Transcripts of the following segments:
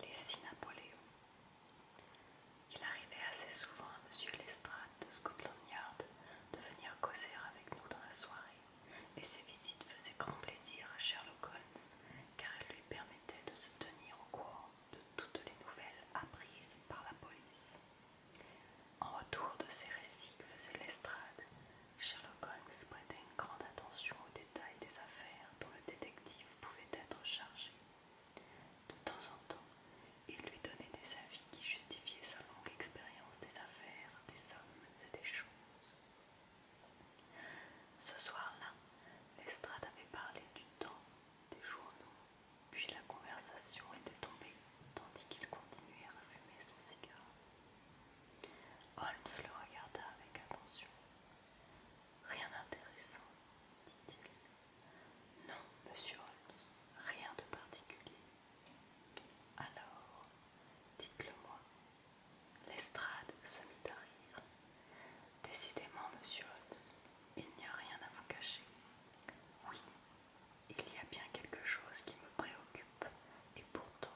Les six Napoléons. Il arrivait assez souvent à Monsieur Lestrade de Scotland Yard de venir causer avec nous dans la soirée, et ses visites faisaient grand plaisir à Sherlock Holmes, car elles lui permettaient de se tenir au courant de toutes les nouvelles apprises par la police. En retour de ces récits que faisait Lestrade, Sherlock Holmes prêtait une grande attention aux détails des affaires dont le détective pouvait être chargé. De temps en temps, il lui donnait des avis qui justifiaient sa longue expérience des affaires, des hommes et des choses. Ce soir-là, Lestrade avait parlé du temps, des journaux, puis la conversation était tombée tandis qu'il continuait à fumer son cigare. Holmes le regarda avec attention. Rien d'intéressant, dit-il. Non, monsieur Holmes, rien de particulier. Alors, dites-le-moi. Lestrade se mit à rire. Décidément, monsieur Holmes, il n'y a rien à vous cacher. Oui, il y a bien quelque chose qui me préoccupe et pourtant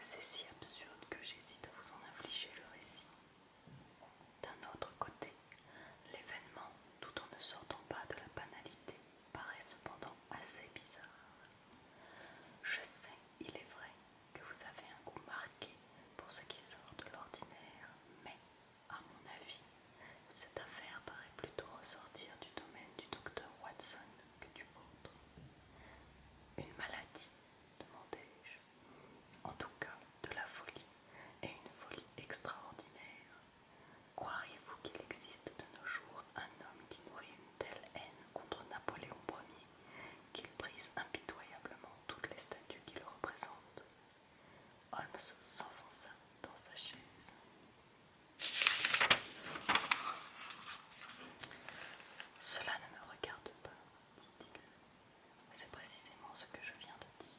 c'est si absurde que j'hésite à vous en infliger le récit. D'un autre côté, l'événement, tout en ne sortant pas de la banalité, paraît cependant assez bizarre. Je sais, il est vrai, que vous avez un goût marqué pour ce qui sort de l'ordinaire, mais, à mon avis, cette affaire paraît plutôt ressortir du domaine du docteur Watson que du vôtre. Une maladie demandai-je. En tout cas, de la folie, et une folie extraordinaire. Croiriez-vous qu'il existe de nos jours un homme qui nourrit une telle haine contre Napoléon Ier qu'il brise impitoyablement toutes les statues qui le représentent Holmes s'enfonça dans sa chaise. Cela ne me regarde pas, dit-il. C'est précisément ce que je viens de dire.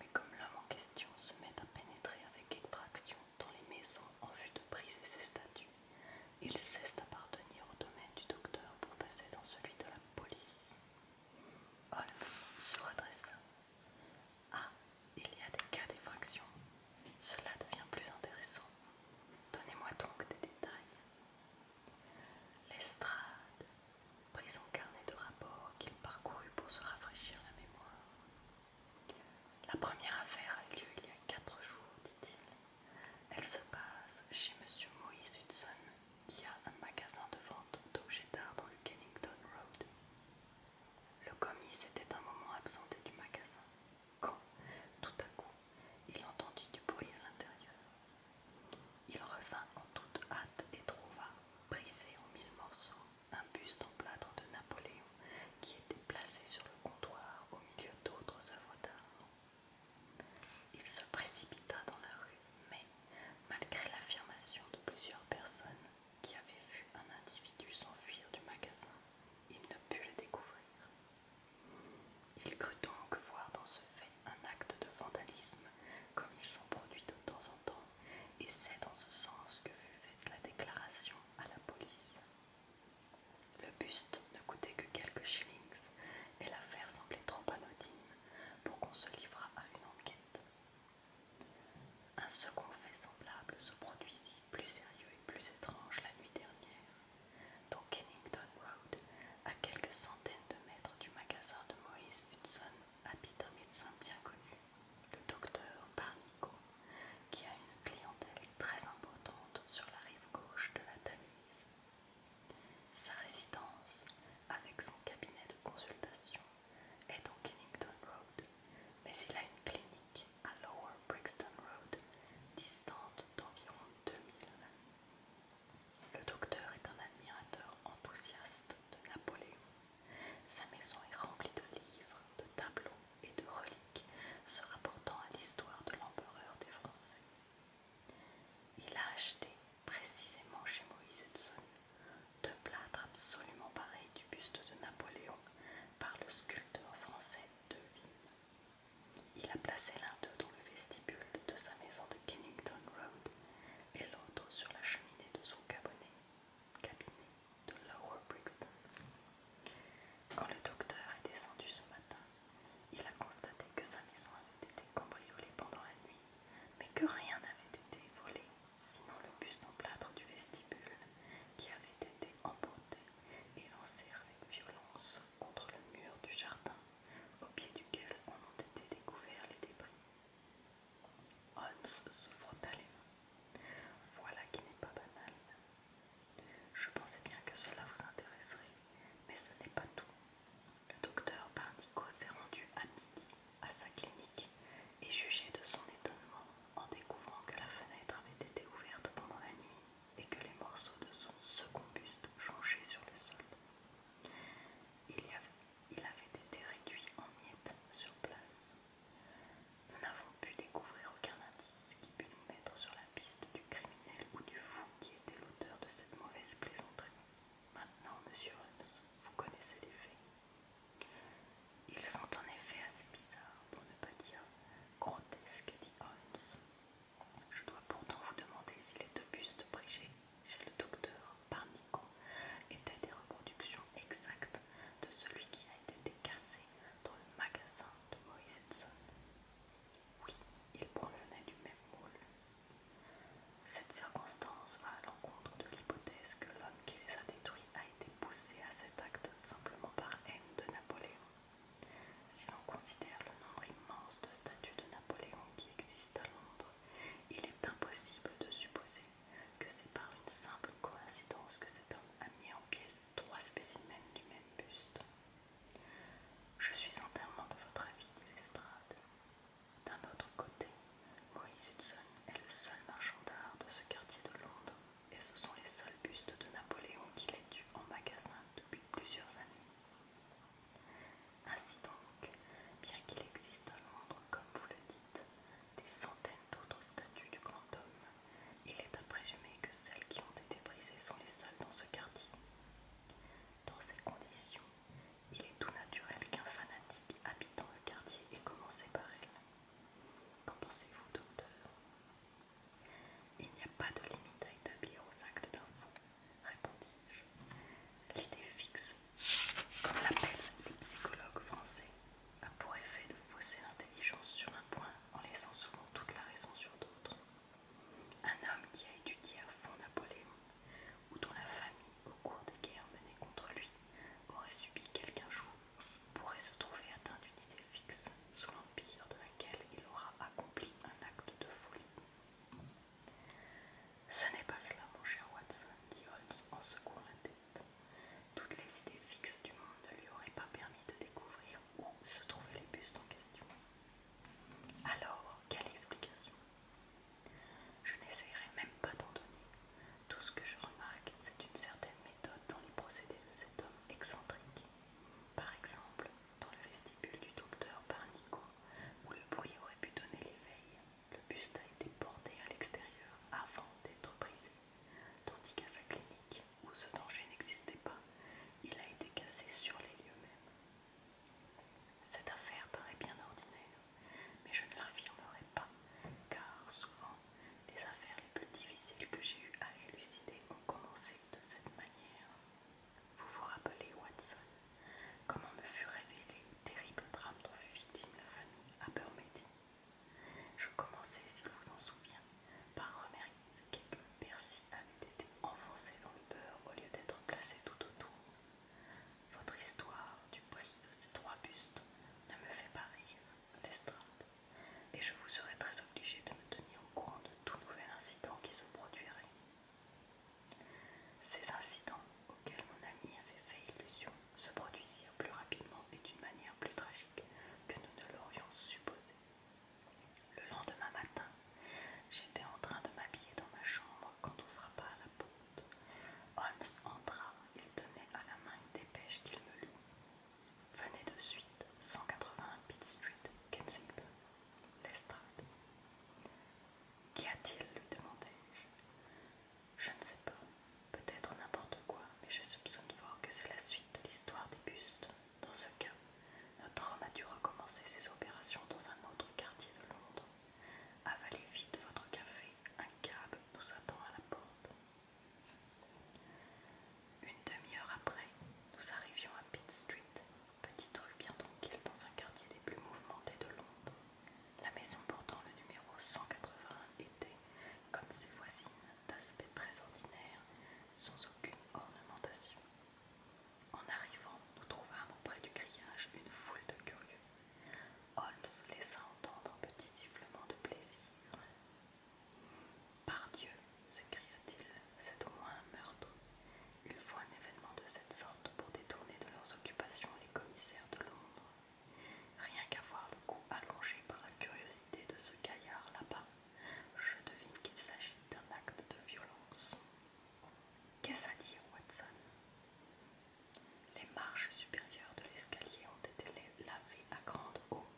Mais comme l'homme en question se met à pénétrer avec effraction dans les maisons en vue de briser ses statues, il cesse d'appartenir au domaine du docteur pour passer dans celui de la police. Holmes se Ah, il y a des cas d'effraction cela devient plus intéressant. Donnez-moi donc des détails. L'estrade prit son carnet de rapports qu'il parcourut pour se rafraîchir la mémoire. La première affaire a eu lieu il y a quatre jours, dit-il. Elle se passe chez M. Moïse Hudson, qui a un magasin de vente d'objets d'art dans le Kennington Road. Le commis était un moment absenté du magasin quand, tout à coup, il entendit du bruit à l'intérieur. Il revint en toute hâte et trouva, brisé en mille morceaux, un buste en plâtre de Napoléon qui était placé sur le comptoir au milieu d'autres œuvres d'art. Il se précipita dans la rue, mais, malgré l'affirmation de plusieurs personnes qui avaient vu un individu s'enfuir du magasin, il ne put le découvrir. Il crut donc voir dans ce fait un acte de vandalisme, comme ils sont produits de temps en temps, et c'est dans ce sens que fut faite la déclaration à la police. Le buste ne coûtait que quelques shillings, et l'affaire semblait trop anodine pour qu'on se livrât à une enquête. Un second fait semblable se produisit, plus sérieux et plus étrange, la nuit dernière. Dans Kennington Road, à quelques centaines de mètres du magasin de Moïse Hudson, habite un médecin bien connu, le docteur Barnico, qui a une clientèle très importante sur la rive gauche de la Tamise. Sa résidence, avec son cabinet de consultation, est en Kennington Road, mais il a une clinique à Lower Brixton Road, distante d'environ 2000. Le docteur est un admirateur enthousiaste de Napoléon. Sa maison est remplie de livres, de tableaux et de reliques se rapportant à l'histoire de l'empereur des Français. Il a acheté, précisément chez Moïse Hudson, deux plâtres absolument pareils du buste de Napoléon par le sculpteur français Devine. Il a placé l'un d'eux dans le vestibule de sa maison de Kennington Road et l'autre sur la cheminée de son cabinet, de Lower Brixton. Quand le docteur est descendu ce matin, il a constaté que sa maison avait été cambriolée pendant la nuit, mais que rien n'avait été volé, sinon le buste en plâtre du vestibule qui avait été emporté et lancèrent avec violence contre le mur du jardin, au pied duquel on ont été découverts les débris. Holmes se frotta les mains. Voilà qui n'est pas banal. Je pensais bien que cela vous intéresserait, mais ce n'est pas tout. Le docteur Barnico s'est rendu à midi à sa clinique et jugé de son étonnement en découvrant que la fenêtre avait été ouverte pendant la nuit et que les morceaux de son second buste jonchaient sur le sol. Il, avait, avait été réduit en miettes sur place. Nous n'avons pu découvrir aucun indice qui pût nous mettre sur la piste du criminel ou du fou qui était l'auteur de cette mauvaise plaisanterie. Maintenant, monsieur Holmes, vous connaissez les faits. Ils sont en effet assez bizarres, pour ne pas dire Grotesque, dit Holmes. Je dois pourtant vous demander si les deux bustes prêchés chez le docteur par étaient des reproductions exactes de celui qui a été cassé dans le magasin de Moïse Hudson. Oui, il provenait du même moule. Cette circonstance va à l'encontre de l'hypothèse que l'homme qui les a détruits a été poussé à cet acte simplement par haine de Napoléon. Si l'on considère le nombre immense de statues de Napoléon qui existent à Londres, il est impossible de supposer que c'est par une simple coïncidence que cet homme a mis en pièces trois spécimens du même buste. Je suis entièrement de votre avis, dit Lestrade. D'un autre côté, Moïse Hudson est le seul marchand d'art de ce quartier de Londres et ce sont les seuls bustes de Napoléon qu'il ait eu en magasin depuis plusieurs années. Ainsi donc, bien qu'il existe à Londres, comme vous le dites, des centaines d'autres statues du grand homme, il est à présumer que celles qui ont été brisées sont les seules dans ce quartier. Dans ces conditions, il est tout naturel qu'un fanatique habitant le quartier ait commencé par elle. Qu'en pensez-vous, docteur il n'y a pas de limite à établir aux actes d'un fou, répondis-je. L'idée fixe, comme l'appellent les psychologues français, a pour effet de fausser l'intelligence sur un point en laissant souvent toute la raison sur d'autres. Un homme qui a étudié à fond Napoléon, ou dont la famille, au cours des guerres menées contre lui, aurait subi quelqu'un jour pourrait se trouver atteint d'une idée fixe sous l'empire de laquelle il aura accompli un acte de folie. Ce n'est pas cela, mon cher Watson, dit Holmes en secouant la tête. Toutes les idées fixes du monde ne lui auraient pas permis de découvrir où se trouvaient les bustes en question. Alors, quelle explication Je n'essayerai même pas d'en donner. Tout ce que je remarque, c'est une certaine dans les procédés de cet homme excentrique. Par exemple, dans le vestibule du docteur Parnico, où le bruit aurait pu donner l'éveil, le buste a été porté à l'extérieur avant d'être brisé, tandis qu'à sa clinique, où ce danger n'existait pas, il a été cassé sur les lieux mêmes. Cette affaire paraît bien ordinaire, mais je ne l'affirmerai pas, car souvent les affaires les plus difficiles que j'ai eues à élucider ont commencé de cette manière. Vous vous rappelez, Watson, comment me fut révélé le terrible drame dont fut victime la famille Abermédi ?»« Je commençais, s'il vous en souvient, par remarquer que personnes avait été enfoncé dans le beurre au lieu d'être placé tout autour. Votre histoire du prix de ces trois bustes ne me fait pas rire l'estrade, et je vous serai très obligé de me tenir au courant de tout nouvel incident qui se produirait. Ces incidents auxquels mon ami avait fait illusion se produisirent plus rapidement et d'une manière plus tragique que nous ne l'aurions supposé. Le lendemain matin, j'étais en train de m'habiller dans ma chambre quand on frappa à la porte. Holmes entra, il tenait à la main une dépêche qu'il me lut. « Venez de suite 181 Pitt Street, Kensington, l'estrade. Qu'y a-t-il lui demandai-je. Je ne sais pas, peut-être n'importe quoi, mais je soupçonne fort que c'est la suite de l'histoire des bustes. Dans ce cas, notre homme a dû recommencer ses opérations dans un autre quartier de Londres. Avalez vite votre café, un cab nous attend à la porte. Une demi-heure après, nous arrivions à Pitt Street, petite rue bien tranquille dans un quartier des plus mouvementés de Londres. La maison portant le numéro 181 était, comme ses voisines, d'aspect très ordinaire, sans aucune ornementation. En arrivant, nous trouvâmes auprès du grillage une foule de curieux. Holmes laissa entendre un petit sifflement de plaisir, « Par Dieu s'écria-t-il, c'est au moins un meurtre. Il faut un événement de cette sorte pour détourner de leurs occupations les commissaires de Londres. Rien qu'à voir le cou allongé par la curiosité de ce gaillard là-bas, je devine qu'il s'agit d'un acte de violence. Qu'est-ce à dire, Watson Les marches supérieures de l'escalier ont été lavées à grande eau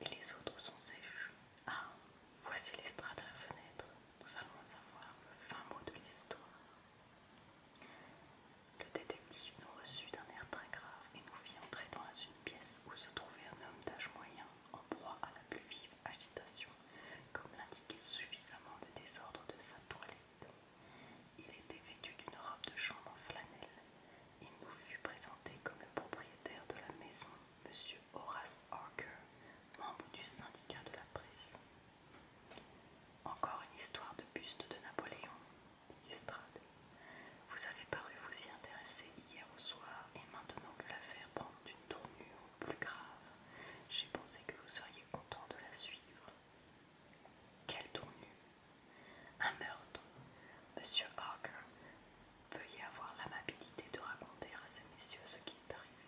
et les autres sont sèches. Ah, voici l'estrade à la fenêtre. Nous allons savoir le fin mot de l'histoire. Le détective nous reçut d'un air très grave et nous fit entrer dans une pièce où se trouvait un homme d'âge moyen en proie à la plus vive agitation, comme l'indiquait suffisamment le désordre de sa toilette. Il était vêtu d'une robe de chambre en flanelle, il nous fut présenté comme propriétaire de la maison, M. Horace Harker, membre du syndicat de la presse. Encore une histoire de buste de Napoléon, dit Vous avez paru vous y intéresser hier au soir, et maintenant que l'affaire prend une tournure plus grave, j'ai pensé que vous seriez content de la suivre. Quelle tournure un meurtre. Monsieur Harker, veuillez avoir l'amabilité de raconter à ces messieurs ce qui est arrivé.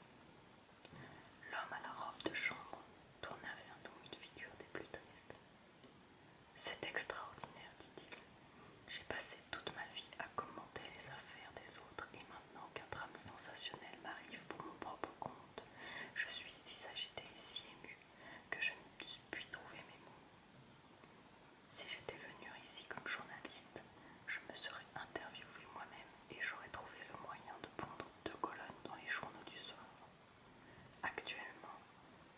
L'homme à la robe de chambre tourna vers nous une figure des plus tristes. C'est extraordinaire, dit-il. J'ai passé toute ma vie à commenter les affaires des autres et maintenant qu'un drame sensationnel m'arrive pour mon propre compte, je suis si agité et si ému que je ne puis trouver mes mots. Si j'étais venue ici comme journaliste, je me serais interviewée moi-même et j'aurais trouvé le moyen de pondre deux colonnes dans les journaux du soir. Actuellement,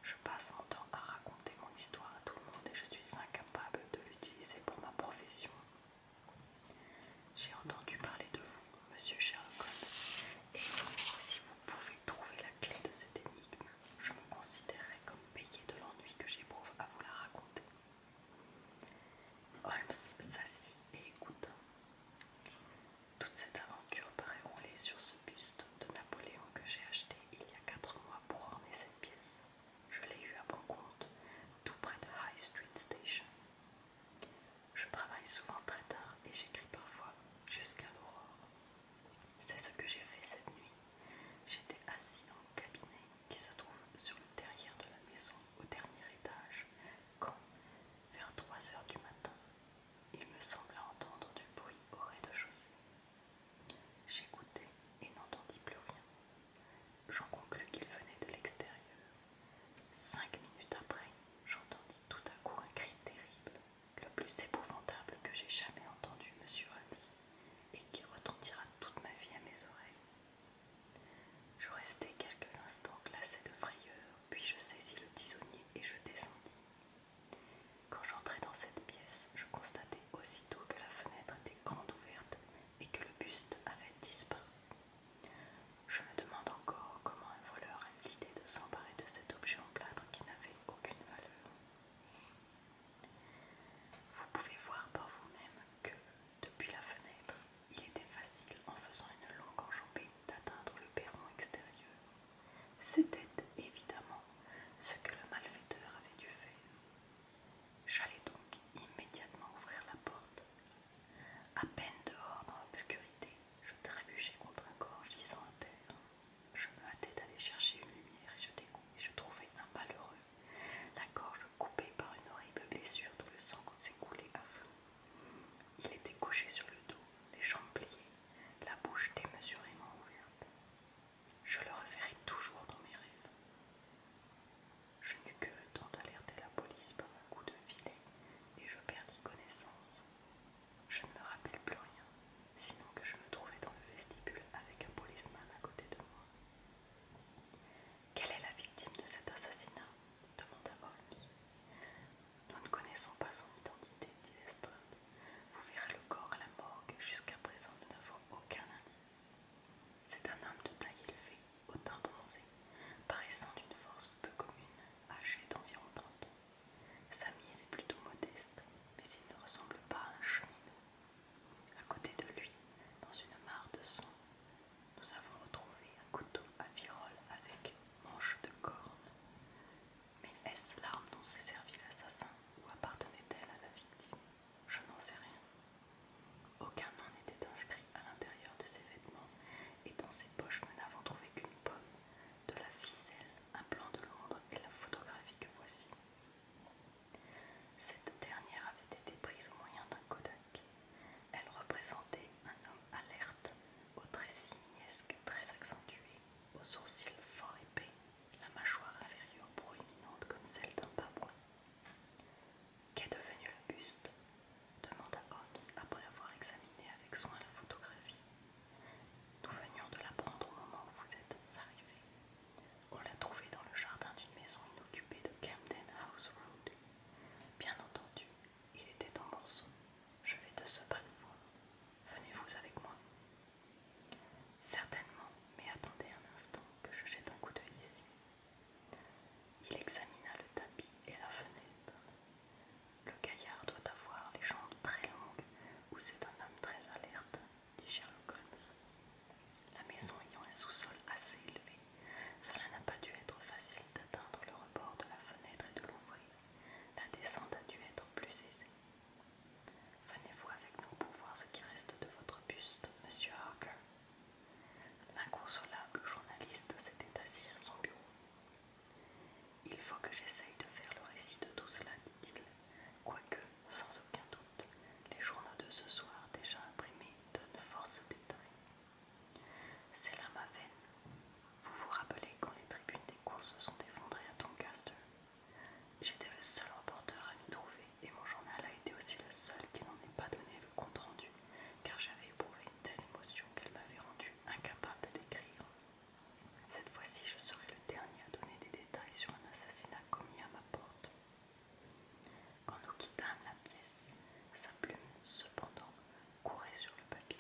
je passe mon temps à raconter mon histoire à tout le monde et je suis incapable de l'utiliser pour ma profession. J'ai entendu parler de vous, monsieur Sherlock, et si vous pouvez Trouver la clé de cette énigme, je me considérerais comme payé de l'ennui que j'éprouve à vous la raconter. Holmes s'assit et écouta. Toute cette aventure paraît roulée sur ce buste de Napoléon que j'ai acheté il y a quatre mois pour orner cette pièce. Je l'ai eu à bon compte, tout près de High Street Station. Je travaille souvent très tard et j'écris parfois jusqu'à l'aurore. C'est ce que j'ai fait cette nuit. J'étais assis dans le cabinet qui se trouve sur le derrière de la maison au dernier étage quand, vers 3 heures du matin, il me sembla entendre du bruit au rez-de-chaussée. J'écoutais et n'entendis plus rien. J'en conclus qu'il venait de l'extérieur. Cinq minutes après, j'entendis tout à coup un cri terrible le plus épouvantable que j'ai jamais entendu, monsieur Holmes, et qui retentira toute ma vie à mes oreilles. Je restai quelques instants glacé de frayeur, puis je saisis le tisonnier et je descendis. Quand j'entrai dans cette pièce, je constatai aussitôt que la fenêtre était grande ouverte et que le buste avait disparu. Je me demande encore comment un voleur l'idée de s'emparer de cet objet en plâtre qui n'avait aucune valeur. Vous pouvez voir par vous-même que, depuis la fenêtre, il était facile, en faisant une longue enjambée, d'atteindre le perron extérieur. C'était évidemment ce que le malfaiteur avait dû faire. J'allais donc immédiatement ouvrir la porte. À peine dehors dans l'obscurité, je trébuchais contre un corps gisant à terre. Je me hâtais d'aller chercher une lumière et je, et je trouvai un malheureux, la gorge coupée par une horrible blessure dont le sang s'écoulait à flot. Il était couché sur le dos, les jambes pliées, la bouche démesurément ouverte. Je le reverrai toujours dans mes rêves. Je n'eus que le temps d'alerter la police par un coup de filet et je perdis connaissance. Je ne me rappelle plus rien, sinon que je me trouvais dans le vestibule avec un policeman à côté de moi. Quelle est la victime de cet assassinat demanda Holmes. Nous ne connaissons pas son identité, dit Lestrade. Vous verrez le corps à la morgue. Jusqu'à présent, nous n'avons aucun indice. C'est un homme de taille élevée, au teint bronzé, paraissant d'une force peu commune, âgé d'environ 30 ans. Sa mise est plutôt modeste, mais il ne ressemble pas à un cheminot. À côté de lui, dans une mare de sang, nous avons retrouvé un couteau à virole avec manche de corne. Mais est-ce l'arme dont s'est servi l'assassin ou appartenait-elle à la victime Je n'en sais rien. Aucun nom n'était inscrit à l'intérieur de ses vêtements et dans ses poches nous n'avons trouvé qu'une pomme, de la ficelle un plan de Londres et la photographie que voici. Cette dernière avait été prise au moyen d'un Kodak. Elle représentait un homme alerte, aux trait simiesque très accentué, aux sourcils fort épais, la mâchoire inférieure proéminente comme celle d'un babouin. Qu'est devenu le buste demanda Holmes après avoir examiné avec soin la photographie nous venions de l'apprendre au moment où vous êtes arrivés. On l'a trouvé dans le jardin d'une maison inoccupée de Camden House Road. Bien entendu, il était en morceaux. Je vais de ce pas de voir. Venez-vous avec moi Certainement, mais attendez un instant que je jette un coup d'œil ici. Il examina le tapis et la fenêtre. Le gaillard doit avoir les jambes très longues ou c'est un homme très alerte, dit Sherlock Holmes. La maison ayant un sous-sol assez élevé, cela n'a pas dû être facile d'atteindre le rebord de la fenêtre et de l'ouvrir. La descente a dû être plus aisée. Venez-vous avec nous pour voir ce qui reste de votre buste, monsieur Harker. L'inconsolable journaliste s'était assis à son bureau. Il faut que j'essaye de faire le récit de tout cela, dit-il, quoique, sans aucun doute, les journaux de ce soir déjà imprimés donnent force aux C'est là ma veine. Vous vous rappelez quand les tribunes des courses se sont effondrées à Doncaster J'étais le seul reporter à m'y trouver et mon journal a été aussi le seul qui n'en ait pas donné le compte rendu, car j'avais éprouvé une telle émotion qu'elle m'avait rendu incapable d'écrire. Cette fois-ci, je serai le dernier à donner des détails sur un assassinat commis à ma porte. Quand nous quittâmes la pièce, sa plume, cependant, courait sur le papier.